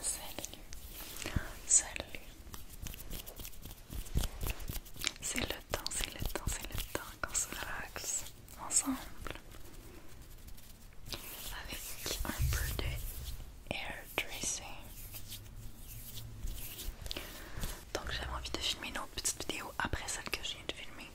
Salut, salut. C'est le temps, c'est le temps, c'est le temps qu'on se relaxe ensemble avec un peu de air tracing. Donc j'avais envie de filmer une autre petite vidéo après celle que je viens de filmer.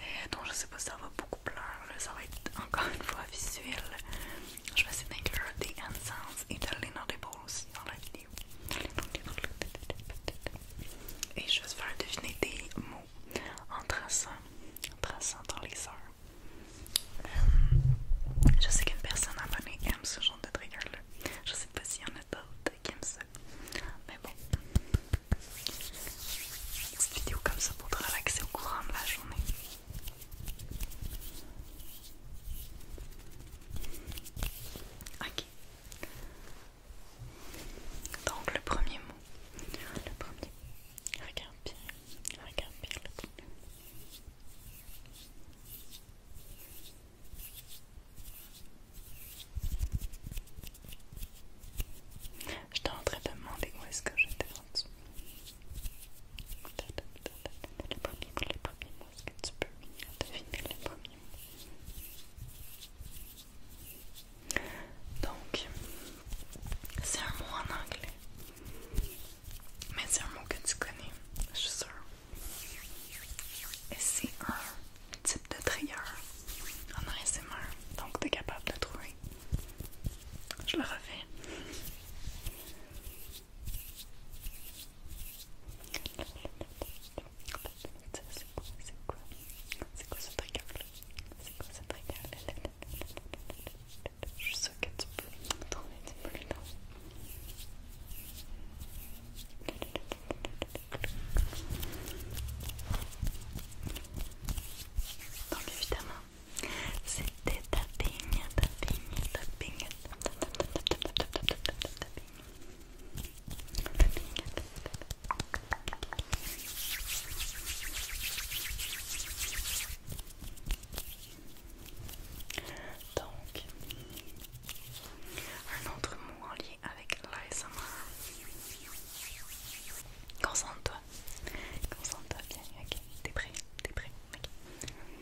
Et euh, donc je sais pas si ça va beaucoup pleurer, ça va être encore une fois visuel. Je vais essayer d'inclure des hand sounds et de l'énorme aussi dans la vidéo. Et je vais se faire deviner des mots en traçant, en traçant dans les heures. je sais qu'une personne abonnée aime ce genre de trigger-là. Je sais pas s'il y en a d'autres qui aiment ça. Mais bon. Une vidéo comme ça pour te relaxer au courant de la journée. Donc le premier mot. Le premier. Regarde bien. Regarde bien le premier Je t'ai en train de demander où est-ce que j'étais en dessous. Les premiers les premiers mots, est-ce que tu peux deviner les premiers mots Donc, c'est un mot en anglais, mais c'est un mot que tu connais, je suis sûre. Et c'est un type de trieur, en ASMR, donc tu es capable de trouver. Je le refais. C'est quoi C'est quoi ce trigger C'est quoi Je suis que tu peux évidemment, c'était tapping, tapping, tapping, donc, un autre mot en lien avec l'ASMR. Concentre-toi. Concentre-toi bien. Ok, t'es prêt? T'es prêt?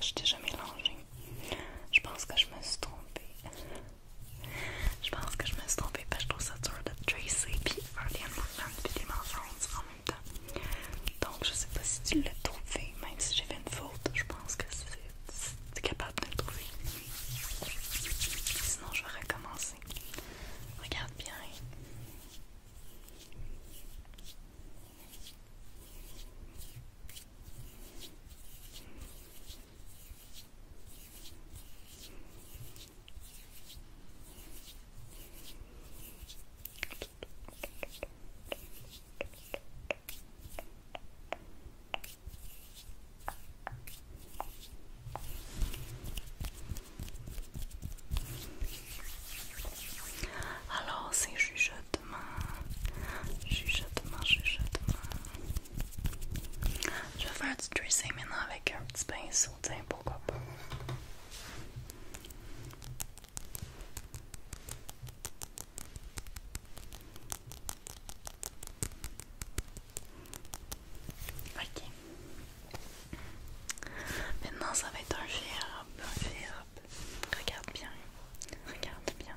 Je t'ai déjà mélangé. Je pense que je me suis trompée. Je pense que je me suis trompée parce que je trouve ça dur de Tracy puis faire des movements et des mensonges en même temps. Donc je sais pas si tu l'as trouvé, même si j'ai fait une faute, je pense que tu es capable de le trouver. Sinon je vais recommencer. Regarde bien. Alors, c'est juge chuchotement, chuchotement, chuchotement. Je vais faire du dressing maintenant avec un petit pinceau, tiens, pourquoi pas. Ok. Maintenant, ça va être un verbe, un verbe. Regarde bien, regarde bien.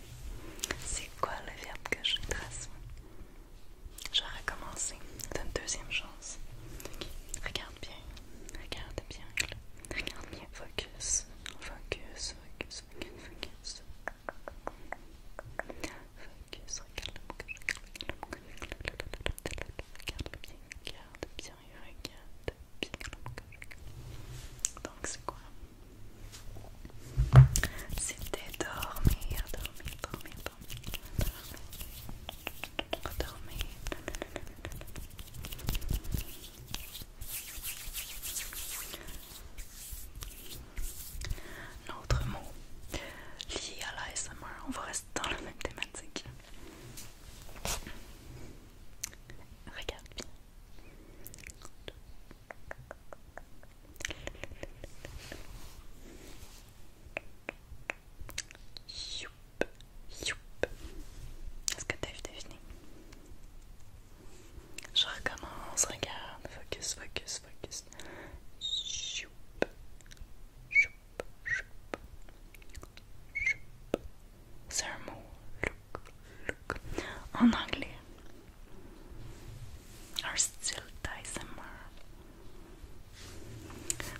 C'est quoi le verbe que je trace Je recommencer, C'est une deuxième chance. Regarde bien. Regarde bien. Regarde bien. Focus. Focus. Focus. Focus. Focus. Regarde Regarde bien. Regarde bien. Regarde bien. Donc c'est quoi c'était dormir, dormir, dormir, dormir, dormir. Autre mot lié à l'ASMR, on va rester dans la même thématique. Regarde Regarde bien. Est-ce que t'as vu finie? Je recommence, regarde, focus, focus, focus. C'est un mot, En anglais, un style d'ASMR.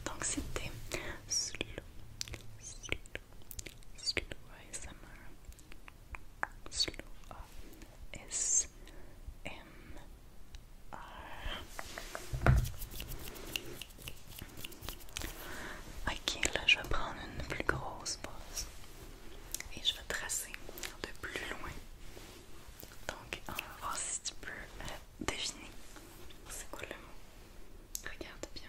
Donc c'était slow, slow, slow ASMR, slow ASMR. Ok, là je vais prendre une plus grosse pause et je vais tracer de plus loin. Donc, on va voir si tu peux la euh, deviner c'est quoi le mot. Regarde bien.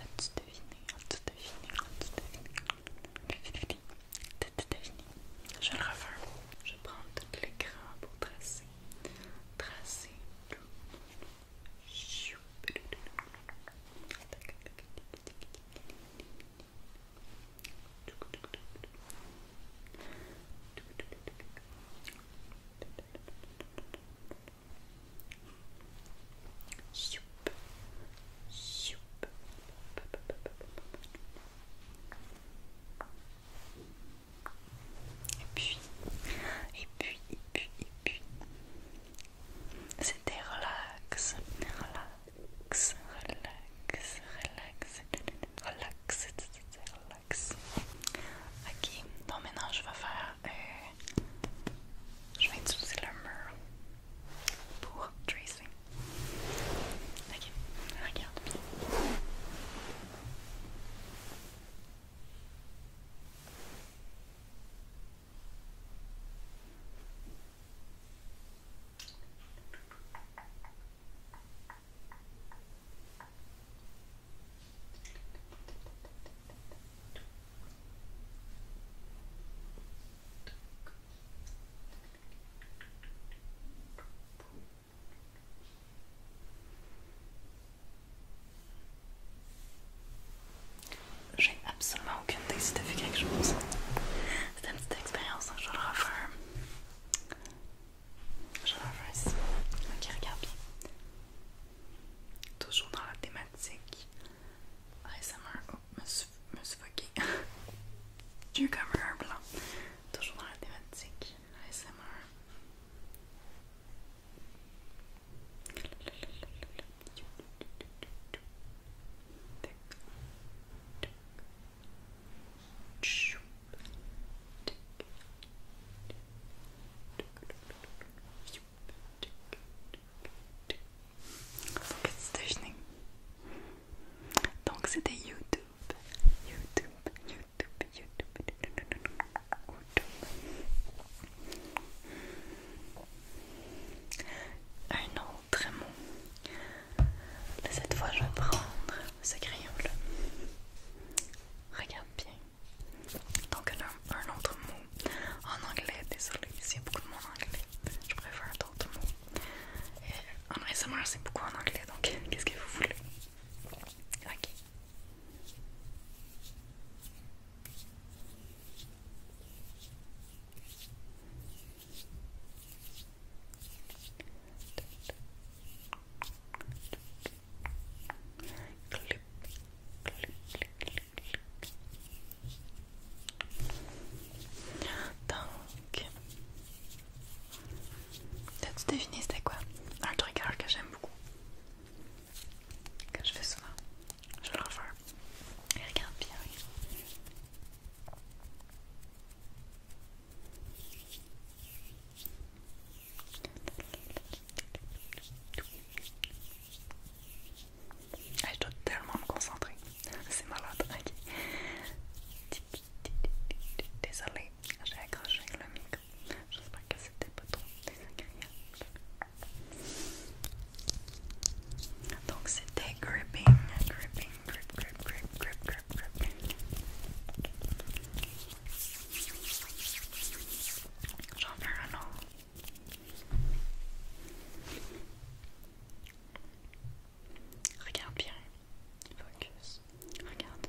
As-tu deviné As-tu deviné As-tu deviné tu deviné Je le refais. Je prends tout l'écran pour tracer. Tracer. Et puis, et puis, et puis, c'était relax, relax, relax, relax, relax, Ok, donc maintenant je vais faire. Euh, je vais utiliser le mur pour tracer. Ok, regarde bien. J'ai absolument aucune idée de faire quelque chose. c'est une petite expérience, hein, je le referme. Je Ok, regarde bien. Toujours dans la thématique. ASMR. oh, me blanc. Toujours dans la thématique. ASMR. Donc c'était YouTube, YouTube, YouTube, YouTube, Un autre mot. cette fois, je vais prendre ce crayon-là. Regarde bien. Donc un, un autre mot en anglais, désolé, s'il y a beaucoup de mots en anglais, je préfère d'autres mots. Et en résumé, c'est beaucoup en anglais, donc qu'est-ce que vous voulez? Ok. Donc, t'as-tu deviné c'était quoi? Un truc que j'aime beaucoup. Que je fais souvent. Je le refaire. regarde bien. Ah, je dois tellement me concentrer, c'est malade. Désolée, j'ai accroché le micro. J'espère que c'était pas trop désagréable. Donc c'était gripping, gripping, grip, grip, grip, grip, J'en fais un Regarde bien. Focus. Regarde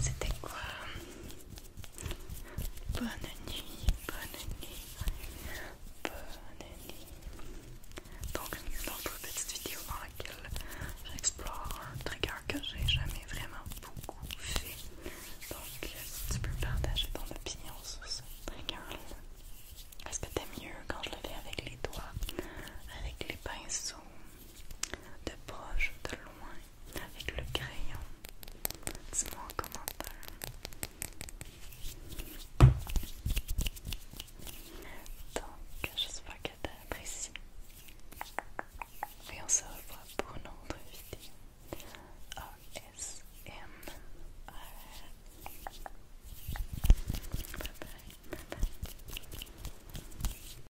C'était quoi Bonne nuit, bonne nuit, bonne nuit. Donc, une autre petite vidéo dans laquelle j'explore un trigger que j'ai jamais vraiment beaucoup fait. Donc, si tu peux partager ton opinion sur ce trigger là Est-ce que t'aimes mieux quand je le fais avec les doigts, avec les pinceaux, de proche, de loin avec le crayon. Dis-moi en commentaire. Donc, j'espère que t'as apprécié. Et on se revoit pour une autre vidéo. Bye bye.